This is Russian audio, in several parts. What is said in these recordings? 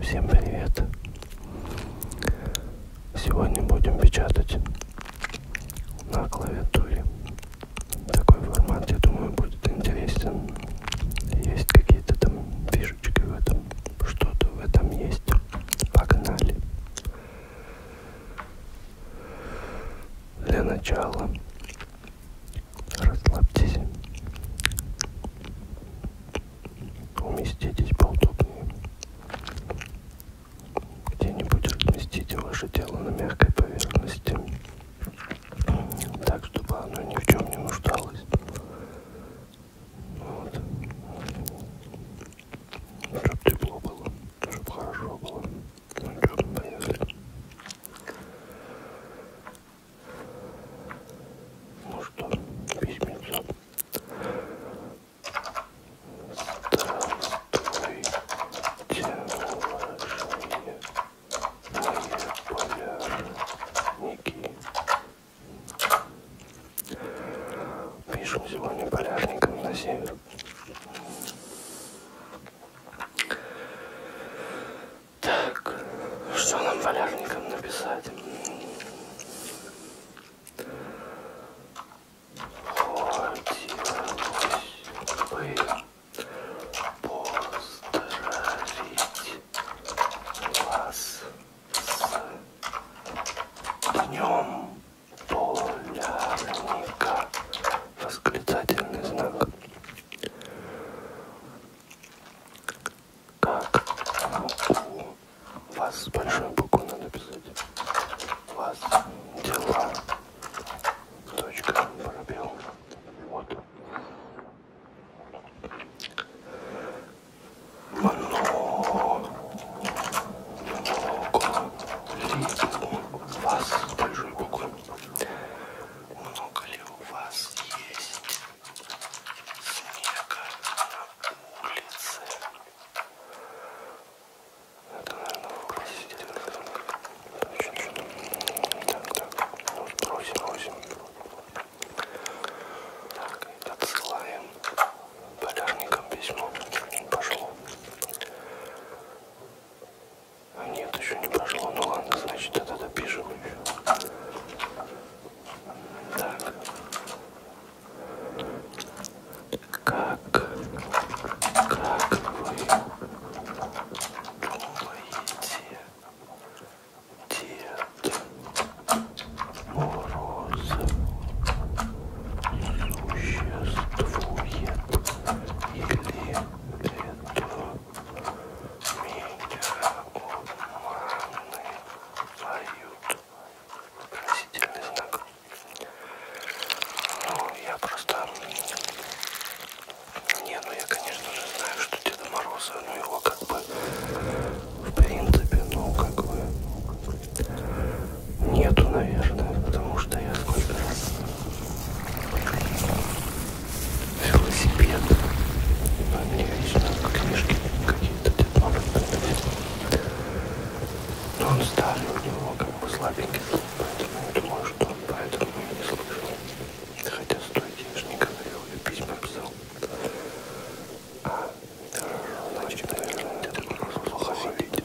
Всем привет! Сегодня будем печатать на клавиатуре. Такой формат, я думаю, будет интересен. Есть какие-то там фишечки в этом, что-то в этом есть. Погнали! Для начала Расслабьтесь. Уместитесь поудобнее. Где-нибудь разместите ваше тело на мягкой поверхности. Так, чтобы оно ни в чем не нуждалось. Вот. Чтоб тепло было, чтоб хорошо было. Ну что, понесли. Ну что, письмецо. Здравствуй, тяжелые мои полярники. Пишем сегодня полярником на север. Так, что нам валярникам написать? Хотелось бы поздравить вас с днем полярника. Восклицательный знак. Как у вас с большой буквы надо писать? Вас дела. Точка пробел. Вот. Много. Много. Ли у вас с большой буквы много ли у вас есть снега на улице? Это, наверное, вопросительный знак. Так, так, ну, бросим, бросим. Так, отсылаем полярникам письмо. Пошло. А нет, еще не прошло. Ну ладно, значит, это допишем еще. Так. Как, как вы думаете, Дед Мороз существует или это меня обманывают. Просительный знак. Ну, я просто... Не, ну я, конечно же, знаю, что Деда Мороза, ну его как бы, в принципе, ну как бы, нету, наверное, потому что я сколько раз велосипед. Но а мне лично книжки какие-то детоны Но он старый, у него как бы слабенький звук, поэтому я думаю, что он поэтому и не слышал. Хотя стойте, я же не говорил, я письма писал. А, хорошо, значит, наверное, Дед Мороз плохо видит.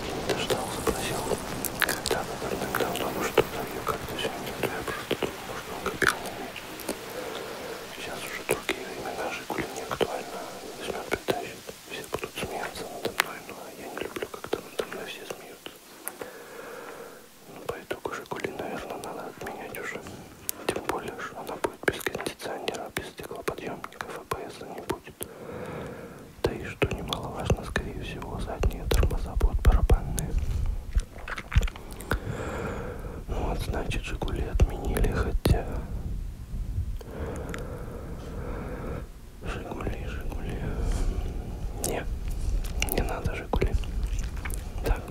так и не дождался, спросил, когда она вернет давно, ну что там ее как-то сегодня, то я просто думал, может он копил на ней. Сейчас уже другие времена, Жигули не актуально, возьмет притащит, все будут смеяться надо мной, но я не люблю, когда надо мной все смеются. Ну по итогу Жигули, наверное, надо отменять уже. Тем более, что она будет без кондиционера, без стеклоподъемников, АБС не будет. Да и, что немаловажно, скорее всего, задние тормоза будут барабанные. Ну вот, значит, «Жигули» отменили, хотя... «Жигули», «Жигули». Не, не надо «Жигули». Так.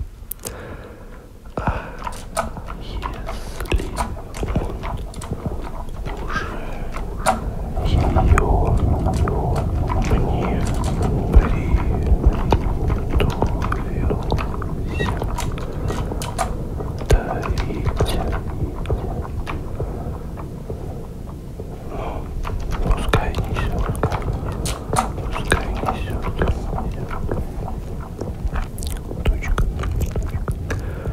А если уже ее мне приготовилось дарить. Ну, пускай несет, пускай несет, тучка, тучка.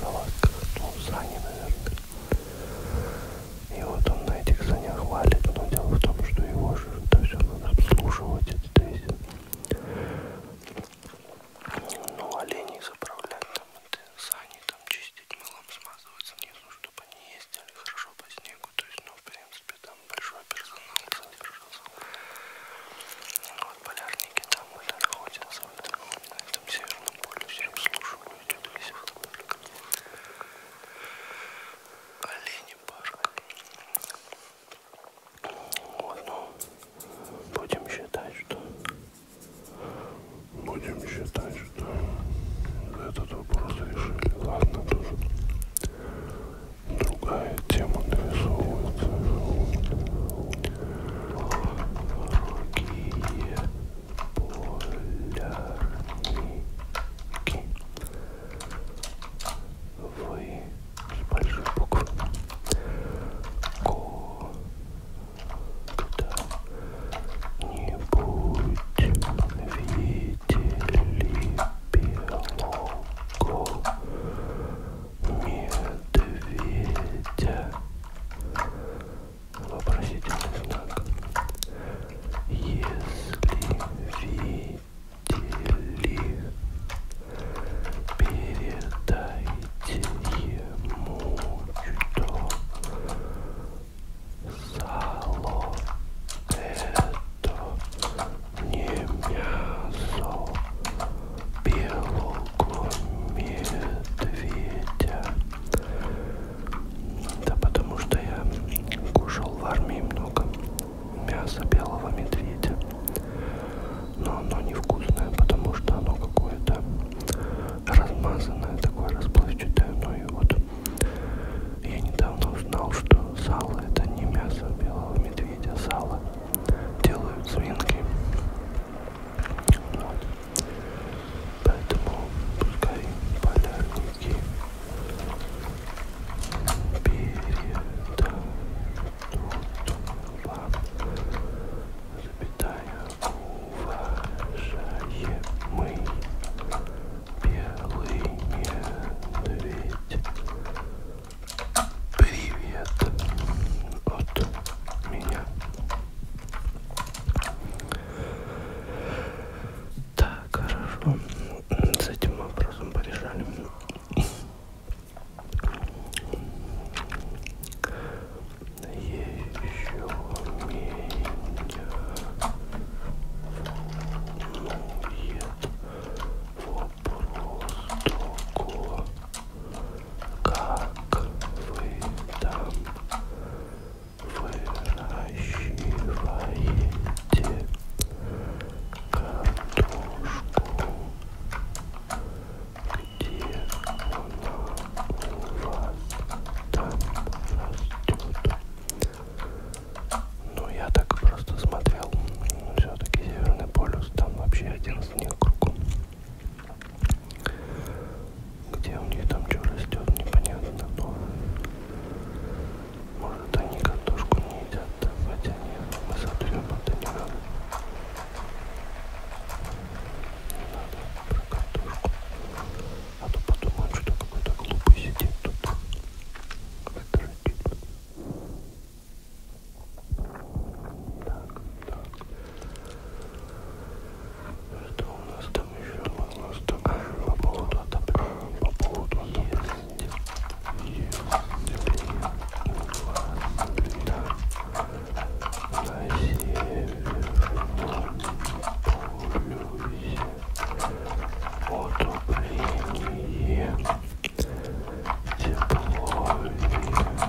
салазках, ну, сани, наверное. И вот он на этих санях валит, но дело в том, что его же это все надо обслуживать, это весь. Ну, оленей заправлять, там, это, сани там чистить, мылом смазываться внизу, чтобы они ездили хорошо по снегу, то есть, ну, в принципе, там большой персонал содержался. Вот полярники там были, находятся, вот, вот, этом Северном полюсе обслуживают весь автопарк. Олени парк. Вот, ну, будем считать, что... Будем считать, что этот вопрос решили. Ладно, тоже другая тема нарисовывается. Дорогие полярники, вы с большой буквы когда-нибудь видели белого медведя? Вопросительный знак. Если видели, передайте ему, что сало это не мясо белого руку медведя. Да потому что я кушал в армии много мяса белого медведя. Но оно невкусное, потому что оно какое-то размазанное, такое расплывчатое. Ну и вот я недавно узнал, что сало это не мясо белого медведя, сало делают свинки. Вот. Поэтому пускай полярники передадут вам запятая уважаемый белый медведь Привет от меня. Так, хорошо. С этим вопросом порешали. Еще меня волнует вопрос такого как вы там выращиваете картошку, где она у вас там растет. Ну, я так просто смотрел. Все-таки Северный полюс, там вообще один снег кругом. Где у них там что растет, непонятно, но может они картошку не едят, да? хотя нет, мы сотрем, это не надо. Не надо про картошку. А то подумают, что какой-то глупый сидит тут. Вытратит. Так, так. Что у нас там еще? У нас там еще по поводу отопрения. По поводу отопрения. Есть. Есть. Три. Два. Три. На северном полюсе отопление тепло и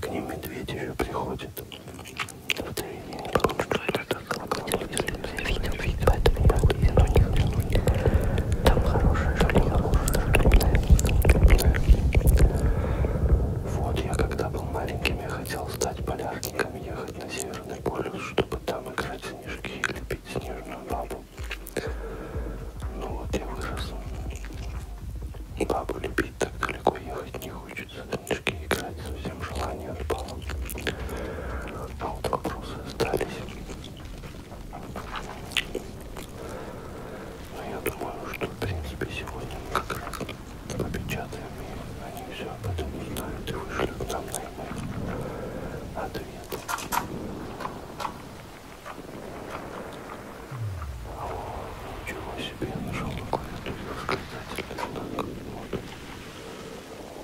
К ним медведь еще приходит. Вот я не помню, что это колокольчик. Видел, видел, поэтому я вот еду не хочу. Там хорошее жилье, Вот я когда был маленьким, я хотел стать полярником, ехать на Северный полюс, чтобы там играть в снежки и лепить снежную бабу. Ну вот я вырос. Бабу любить так далеко ехать не хочется. Дочки играть совсем желание отпало. А вот вопросы остались. Но ну, я думаю, что в принципе сегодня как раз попечатаем и они все об этом узнают и вышлют нам на ответ. Ничего себе, я нашел на клавиатуре восклицательный знак.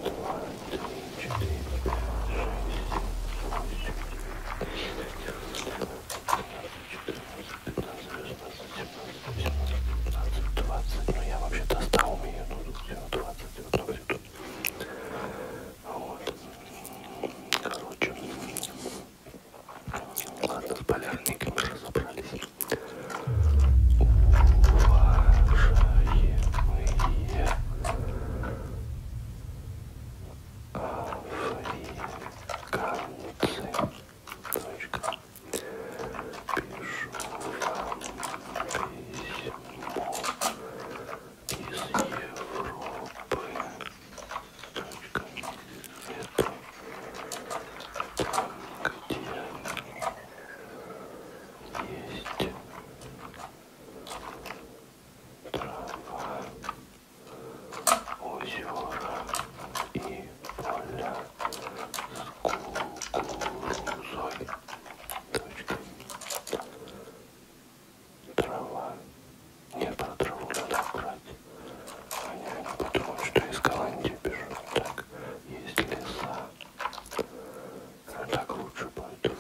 Вот. Два, три, четыре, пять, шесть, восемь, четырнадцать, пятнадцать, шестнадцать, семнадцать, восемнадцать, девятнадцать, двадцать. Ну я вообще-то ста умею, но тут всего двадцать, вот так все тут. Вот. Короче. Ладно, с полярной камерой разобрались. Уважаемые африканцы. Точка. Пишу вам письмо из Европы. Точка это там, где есть трава, озера и поля с кукурузой. Точка. Трава. Нет, про траву надо убрать. Они, они подумают, что из Голландии бежат. Так, есть леса. А так лучше будет.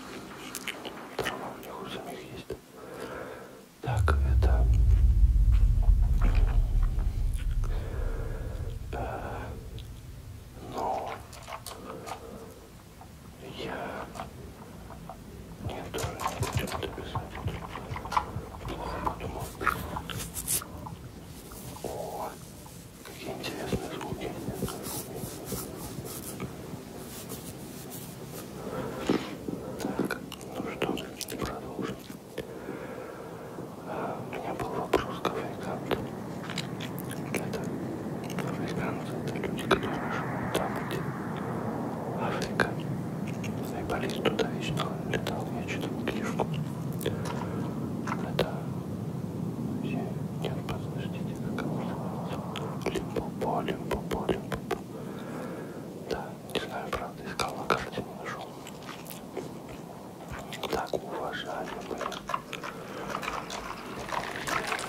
Трава у них у самих есть. Так, это... Э, но... Ну, я... Нет, тоже не почему-то писать. Плохо подумал. О, какие интересные звуки. Так, ну что, продолжим. А, у меня был вопрос к африканту. Это африкант люди, которые живут там, где Африка. Айболист туда вечно летал, я читал книжку. Это... Я... Нет, подождите, как его называется? Лимпопо, Лимпопо, Лимпопо. Да, не знаю, правда, искал на карте, не нашел. Так, уважаемые.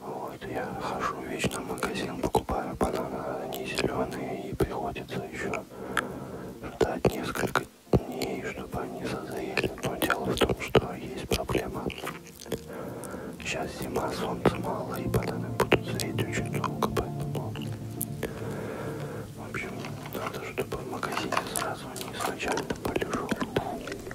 Вот, я хожу вечно в магазин, покупаю бананы, они зеленые, и приходится еще ждать несколько дней, чтобы они созрели. Но дело в том, что есть проблема. Сейчас зима, солнца мало, и бананы будут зреть очень долго, поэтому... В общем, надо, чтобы в магазине сразу не изначально полежал.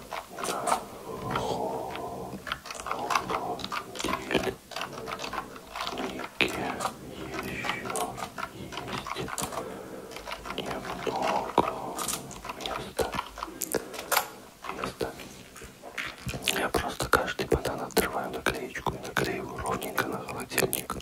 холодильнике еще есть немного места. места. Я просто каждый банан отрываю наклеечку и наклеиваю ровненько на холодильник.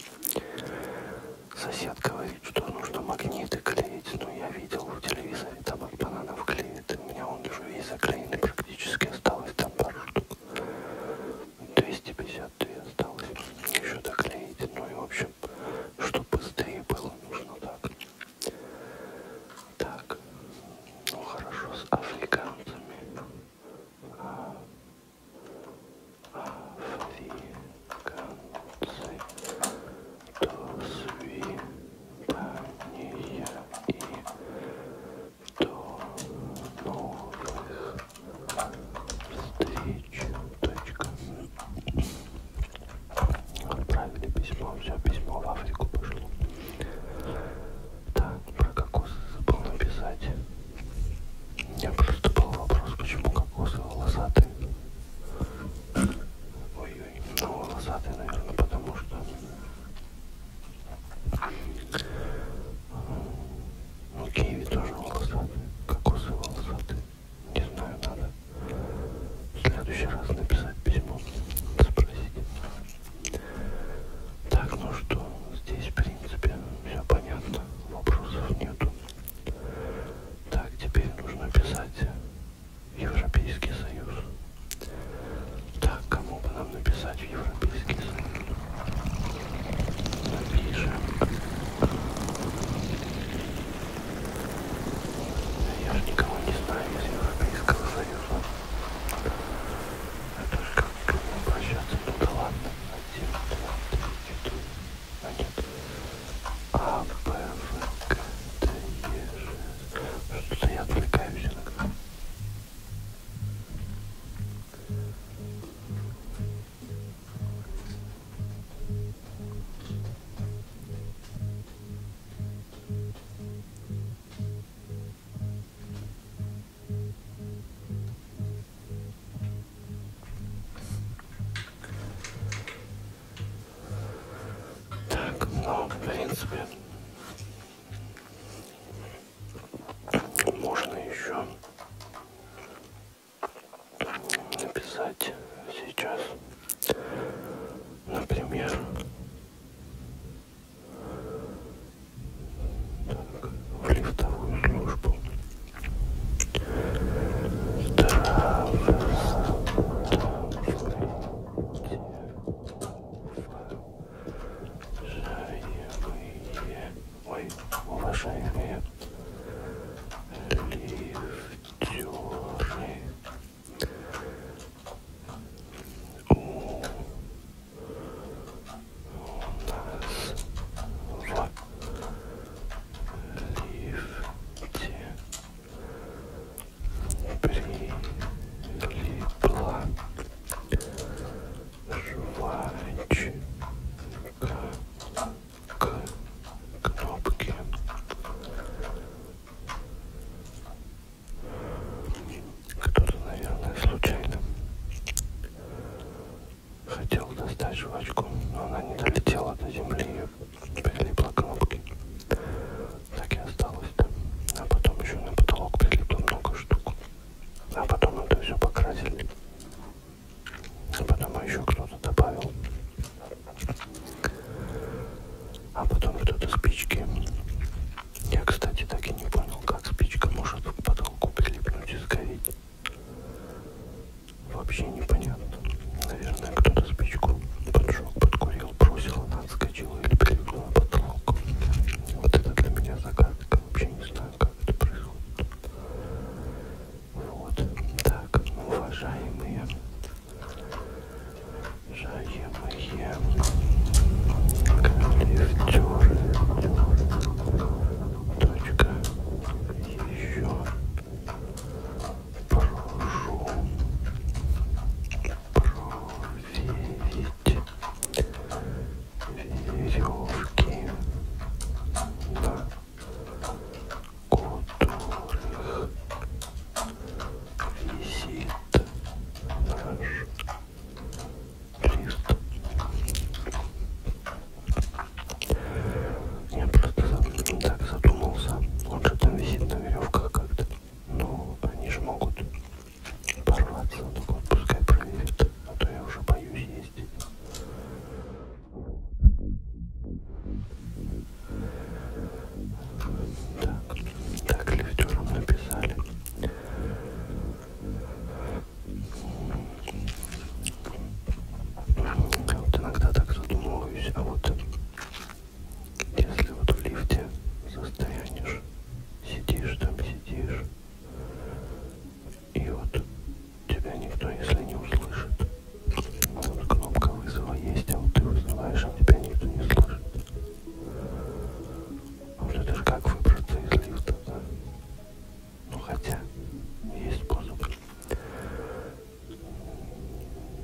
Соседка говорит, что нужно магниты клеить, но я видел в телевизоре, Табак бананов клеит. У меня он уже весь заклеенный практически. Осталось там пару штук. 252 осталось. Еще доклеить. Ну и в общем, чтобы быстрее было, нужно так. Так. Ну хорошо, с африканцами. А, африканцы свидания и до новых встреч. Точка. Отправили письмо, все письмо в Африку пошло. Так, про кокосы забыл написать. У меня просто был вопрос, почему кокосы волосатые. Ой, ну, волосатый, наверное, потому что ну, киви тоже волосатый, кокосы волосатые. Не знаю, надо в следующий раз написать письмо, спросить. Так, ну что, здесь, в принципе, все понятно, вопросов нету. Так, теперь нужно писать Европейский Союз. Так, кому бы нам написать в Европейский Союз? Напишем. Я же никого не знаю из Европейского Союза. Это же как к нему обращаться? Ну да ладно. Один, два, три, четыре. А нет. А, Б, В, К, Д, Е, Ж. Что-то я отвлекаюсь иногда. Так, ну, в принципе, можно еще написать сейчас, например, так, в лифтовую службу. Здравствуйте. Ой, уважаемые лифтеры, у, у нас в лифте прилипла жвачка к кнопке. Кто-то, наверное, случайно хотел достать жвачку, но она не долетела до земли, ее прилипло к кнопке. Так и осталось. А потом еще на потолок прилипло много штук. А потом это все покрасили. А потом еще кто-то добавил. А потом кто-то спички. Я, кстати, так и не понял, как спичка может к потолку прилипнуть и сгореть. Вообще непонятно. Наверное, кто-то спичку поджег, подкурил, бросил, она отскочила или перегнула потолок. Вот это для меня загадка. Вообще не знаю, как это происходит. Вот. Так, уважаемые. Уважаемые коллектеры. Точка. Еще прошу проверить веревки, на которых висит наш лист. Я просто так задумался. Он же там висит на веревках как-то. Но ну, они же могут порваться. Ну, так вот пускай проверят. А то я уже боюсь ездить. Так, так лифтером написали. Вот иногда так задумываюсь, а вот если вот в лифте застрянешь, сидишь там, сидишь, и вот тебя никто, если не услышит, вот кнопка вызова есть, а вот ты вызываешь, а тебя никто не слышит. А вот это же как выбраться из лифта, да? Ну хотя, есть способ.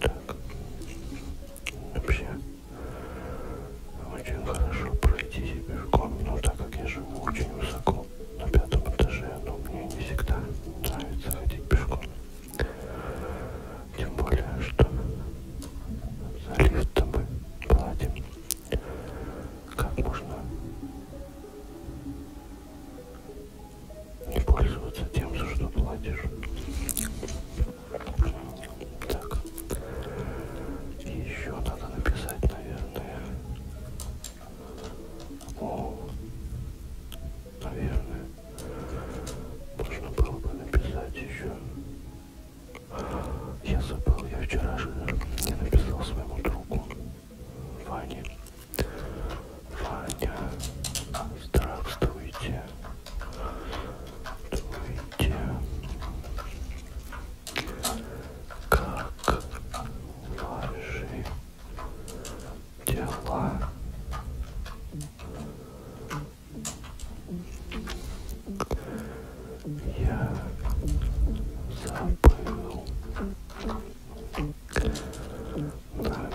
Так. Вообще очень хорошо пройти бежком, но так как я живу очень высоко, на пятом этаже, но мне не всегда нравится ходить пешком. Тем более, что за лифт мы платим. Как можно не пользоваться тем, за что платишь. Так. И еще надо написать, наверное. О, наверное. Можно было бы написать еще. Я забыл, я вчера же не написал своему другу Ване. Ваня, здравствуйте. Здравствуйте. Как ваши дела? Я забыл написать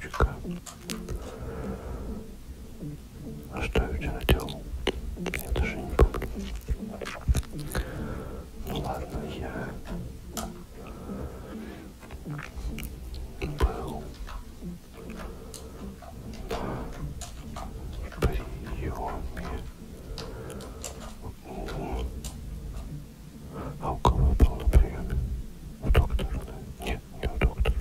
точка. А что я вчера делал? Я даже не помню. Ну ладно, я был на приеме у а у кого я был на приеме? У доктора, да? Нет, не у доктора.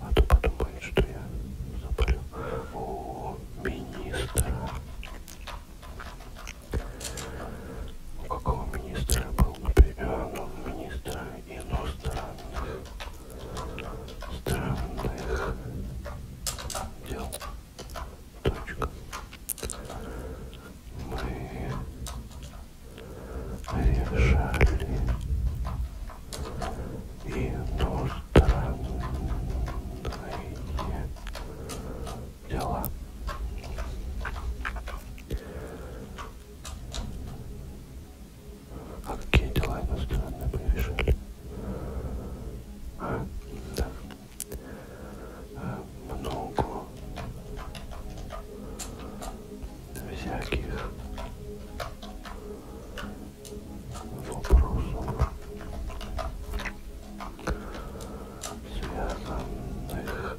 А то подумает, что я заболел. У министра. У какого министра я был на приеме? Ну, министра иностранных странных дел. Точка мы решали иностранные дела. А какие дела иностранные мы решали? А, да много всяких вопросов, связанных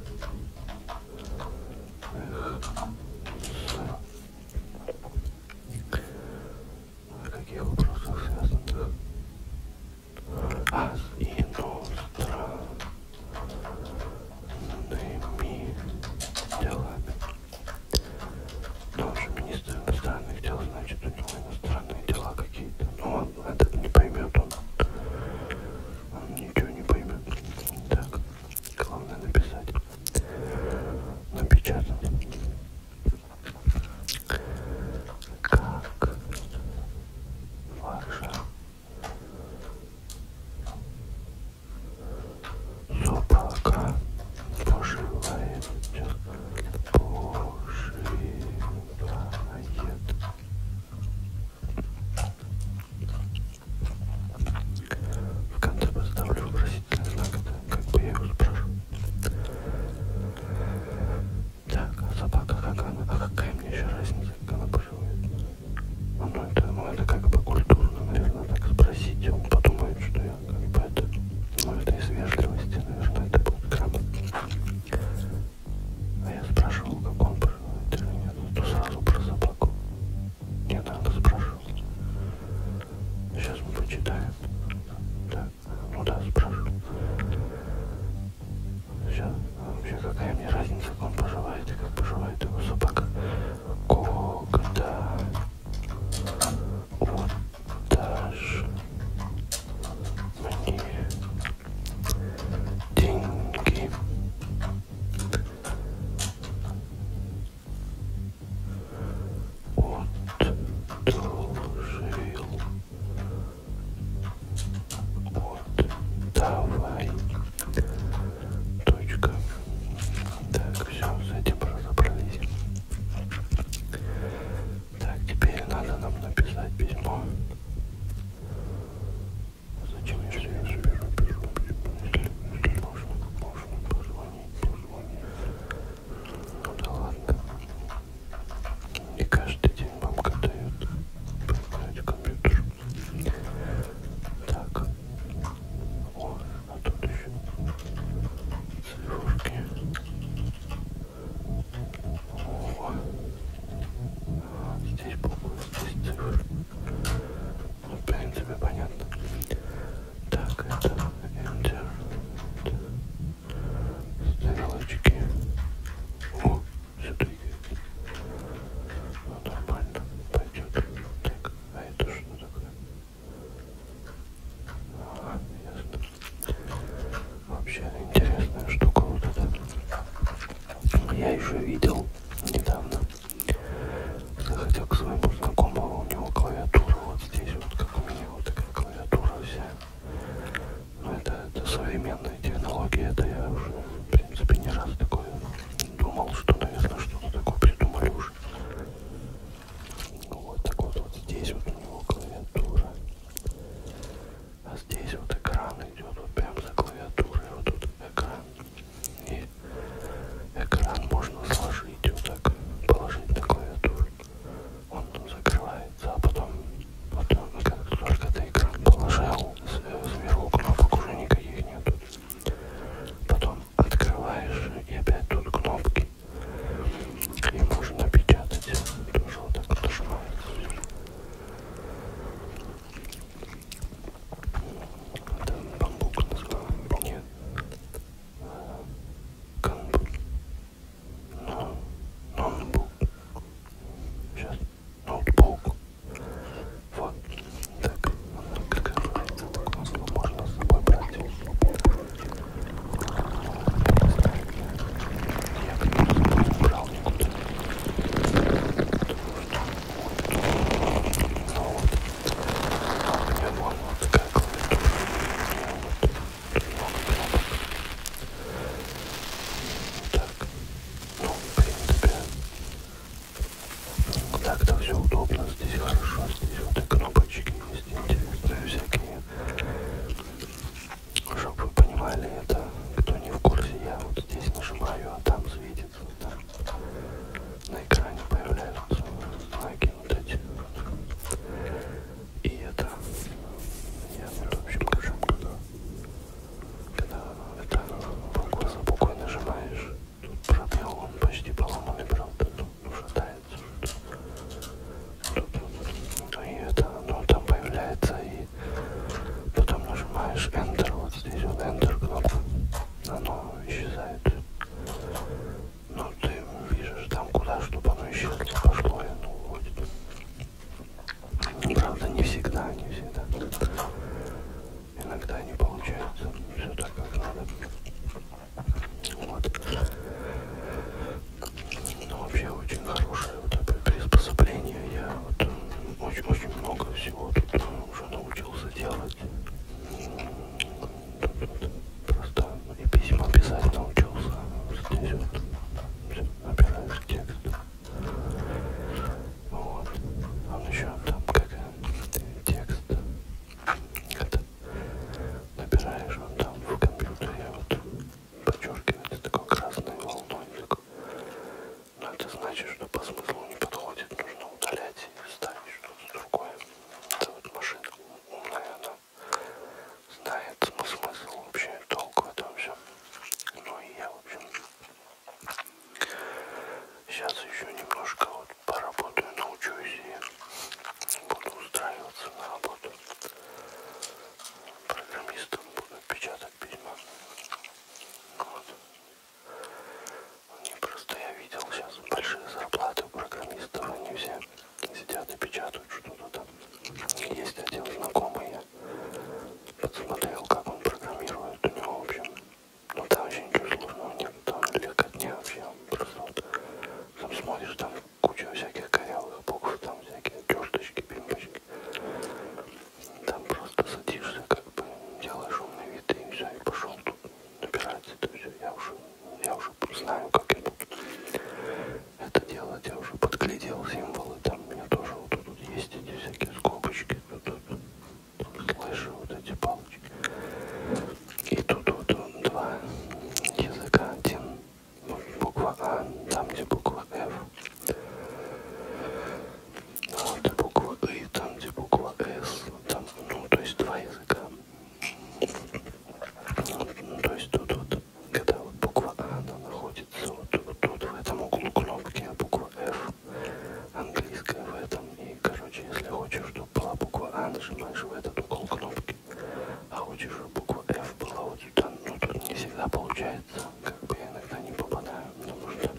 с каких вопросов связанных Аз иностранными делами. Тоже министр иностранных дел, значит, у него иностранные дела какие-то. Но ну, он этот не поймет, он, он ничего не поймет. Так, главное написать. Напечатать. Как ваша Собака ну поживает, поживает. В конце поставлю вопросительный знак, это как бы я его спрошу. Так, а собака как она? А какая мне еще разница, как она поживает? Ну, ну это надо ну, как бы культурно, наверное, так спросить. Он подумает, что я как бы это... Ну, это из вежливости, наверное, это будет грамотно. А я спрашивал, как он поживает или нет. То сразу про собаку. Не надо спрашивать. Сейчас мы почитаем. Так, ну да, спрашивал. Все, вообще какая мне разница, как он поживает и как поживает его собака. Когда вот даже мне деньги отложил вот, давай. Точка. Так, все, с этим разобрались. Так, теперь надо нам написать письмо. Зачем, если я же пишу, пишу, пишу, если можно, можно позвонить, позвонить. Ну да ладно. И каждый день мамка дает поиграть в компьютер. Так. О, а тут еще цифрушки. О. Здесь буквы, здесь цифры. Ну, в принципе, понятно. Так, это Enter. Стрелочки. О, все двигается. Ну, нормально, пойдет. Так, а это что такое? Ага, ясно. Вообще интересная штука вот эта. Я еще видел недавно. Заходил к своему знакомому, у него клавиатура вот здесь, вот как у меня вот такая клавиатура вся но это, это современные технологии, это я уже, в принципе, не раз такое думал, что, наверное, что-то такое придумали уже. Вот так вот, вот здесь вот у него клавиатура. А здесь вот экран идет вот прям за клавиатурой. Вот тут экран. И экран можно сложить вот так, положить на клавиатуру. Он закрывается, а потом Потом, как только ты экран положил, сверху кнопок уже никаких нету. Потом открываешь и опять тут кнопки. И можно печатать. Тоже вот так вот нажимается. Это бамбук назвал. Нет. Э, Камбук но, ноутбук. Сейчас ноутбук. Вот. Так, как говорится, такое слово можно с собой брать. Я как раз не брал никуда. Ну вот. А у меня вон вот такая клавиатура. У меня вот много кнопок. Да, так. Ну, в принципе, так-то все удобно, здесь хорошо, здесь вот и кнопочки есть интересные всякие. Чтобы вы понимали это, кто не в курсе, я вот здесь нажимаю, а там светится, вот там на экране появляются знаки вот эти вот. И это я вот в общем скажем, когда когда это букву за буквой нажимаешь, тут пробел, он почти поломанный, правда, ну, шатается. Тут, ну и это, ну там появляется, и потом нажимаешь Enter, вот здесь вот Enter кнопка, оно исчезает. Ну ты видишь там куда, чтобы оно исчезло, пошло и оно уходит. Правда, не всегда, не всегда. Иногда не получается. Все так, как надо. Вот. Ну, вообще очень хорошее вот такое приспособление. Я вот очень-очень много всего тут э, уже научился делать. Тут вот просто и письма писать научился. Здесь вот все, набираешь текст. Вот. Он еще там как текст. Когда набираешь, он там в компьютере вот подчеркивается такой красной волной. Такой. Но это значит, что по смыслу не подходит. Нужно удалять и ставить что-то другое. Это вот машина умная, она знает смысл вообще, толк в этом всем. Ну и я, в общем, сейчас еще немножко вот поработаю, научусь и буду устраиваться на работу. Программистом буду печатать письма. Вот. Не просто я видел сейчас большие зарплаты у программистов, они все сидят и печатают что-то там. Есть один знакомый, Посмотрел, как он программирует. У него, в общем, ну там вообще ничего сложного нет. Там легкотня вообще. Просто вот, там смотришь, там куча всяких корявых букв, там всякие черточки, пимпочки. Там просто садишься, как бы делаешь умный вид и все, и пошел тут набирать это все. Я уже, я уже знаю, как это это делать. Я уже подглядел символы, там у меня тоже вот тут есть эти всякие скобочки, тут, тут, тут слышу вот эти палочки. И тут вот он, два языка, один буква А, там где буква F. А вот и буква И, там где буква С, там, ну то есть два языка. Ну, то есть тут вот когда вот буква А, она находится вот, вот тут, в этом углу кнопки, а буква F английская в этом. И, короче, если хочешь, чтобы была буква А, нажимаешь в этот угол кнопки. А хочешь, чтобы буква F была вот сюда. Ну, тут не всегда получается. Как бы я иногда не попадаю, потому что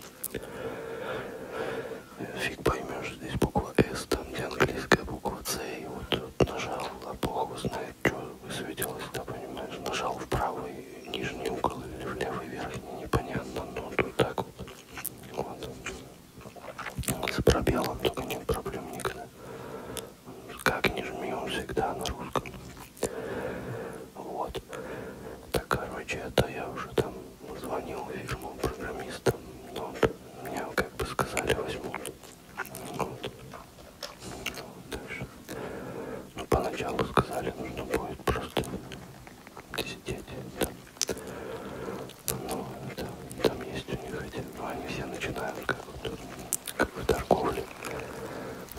э, фиг поймешь, здесь буква S, там где английская буква C. И вот тут нажал, а бог его знает что высветилось, да, понимаешь, нажал в правый нижний угол или в левый верхний, непонятно, но тут так вот, вот, с пробелом только нет проблем никогда, как не жми, он всегда на русском, вот, так, короче, это я уже там звонил фирму программистам, но вот, мне как бы сказали возьмут, вот, ну, поначалу сказали, нужно будет просто сидеть там. Ну, это, там есть у них эти, ну, они все начинают как, вот, как в торговле.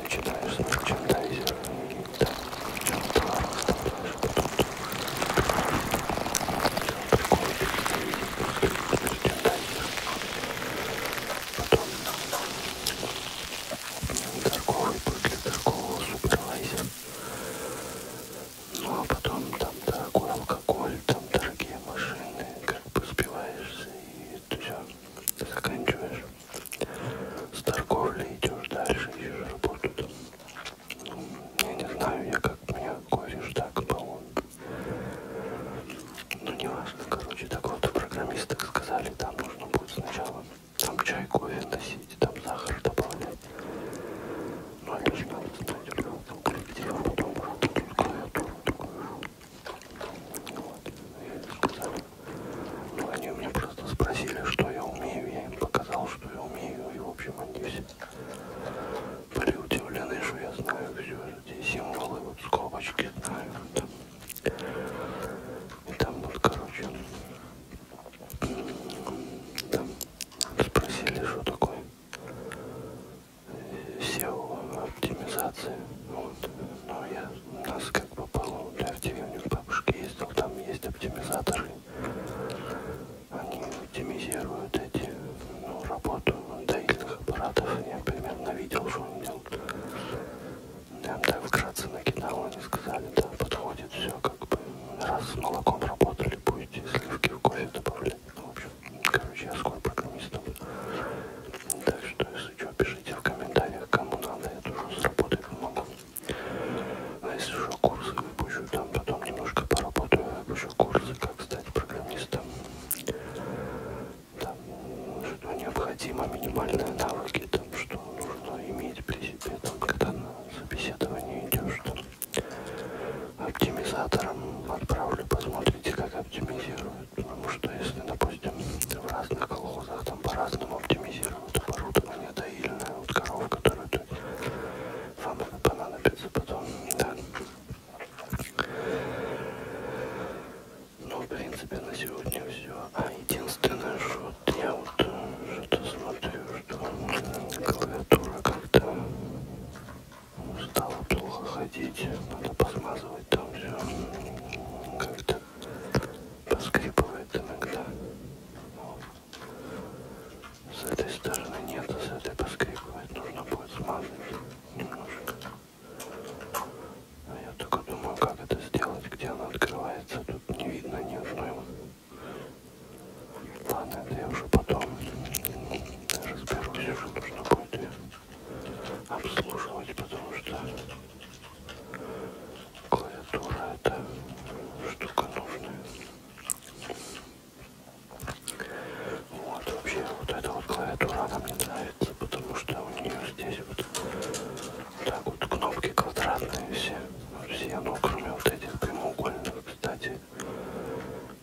Начинаешь с мерчендайзера и там товар оставляешь, потом тут приходишь, мерчендайзер. Потом торговый путь для торгового супервайзера. Ну а потом там дорогой алкоголь, там дорогие машины, как бы сбиваешься и ты все заканчиваешь. С торговли идешь дальше, ищешь работу там. Ну, я не знаю, я как меня кофе так, по-моему. Ну не важно, короче, так вот программисты так сказали, там нужно будет сначала там чай, кофе носить, там сахар добавлять. Ну они а же надо знать, у него там коллектив, а потом работают клавиатуру такую же. Вот, и сказали. Ну они у меня просто спросили, что я умею, я им показал, что я умею, и в общем они все были удивлены, что я знаю все эти символы, вот скобочки знаю. Там. И там вот, короче, там спросили, что такое SEO-оптимизация. Вот. Но ну, я, у нас как попало, я в деревню к бабушке ездил, там есть оптимизаторы. Они оптимизируют эти, ну, работу доильных аппаратов. Я примерно видел, что он делал. Я им так вкратце накидал, они сказали, да, подходит все, как бы, раз с молоком работали, будете сливки в кофе добавлять. Ну, в общем, короче, я скоро программистом. Так что, если что, пишите в комментариях, кому надо, я тоже заработать помогу. А если уже курсы выпущу, там потом немножко поработаю, выпущу курсы, как стать программистом там, что необходимо, минимальные навыки, там, что нужно иметь при себе, там, когда на собеседование идешь, там, оптимизатором отправлю, посмотрите, как оптимизируют, потому что если, допустим, в разных колхозах там по-разному оптимизируют оборудование доильное, вот коров, которую ты, вам понадобится потом, да. Ну, в принципе, на сегодня все. А единственное, что я вот э, что-то смотрю, что клавиатура как-то стала плохо ходить. Надо посмазывать там все. Как-то поскрипывает иногда. С этой стороны нет, а с этой поскрипывает. Нужно будет смазать немножко. А я только думаю, как это сделать, где она открывается. Тут не видно ни одной. Ладно, это я уже потом разберусь, уже нужно будет ее обслуживать, потому что клавиатура это штука нужная. Вот вообще вот эта вот клавиатура, она мне нравится, потому что у нее здесь эти вот, так вот кнопки квадратные все. Все, ну кроме вот этих прямоугольных, кстати.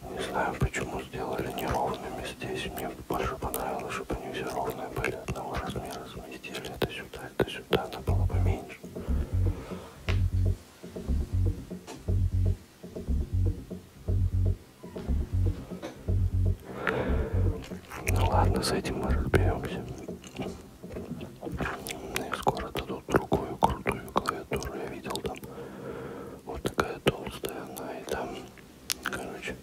Не знаю, почему сделали неровными здесь. Мне больше понравилось, чтобы они все ровные были одного размера. Сместили это сюда, это сюда, она было бы меньше. Ну ладно, с этим мы разберемся. И ну, скоро дадут другую крутую клавиатуру. Я видел там вот такая толстая она и там, короче,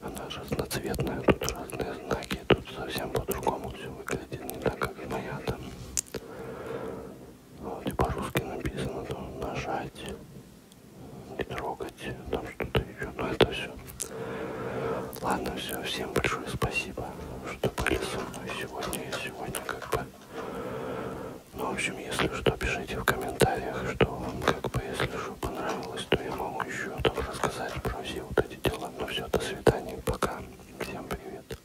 она разноцветная, тут разные знаки, тут совсем по-другому все выглядит, не так как моя там. Вот и по-русски написано, то нажать рогать, там что-то еще, но ну, это все. Ладно, все, всем большое спасибо, что были со мной сегодня и сегодня как бы. Ну, в общем, если что, пишите в комментариях, что вам как бы, если что, понравилось, то я могу еще там рассказать про все вот эти дела. Ну все, до свидания, пока, всем привет.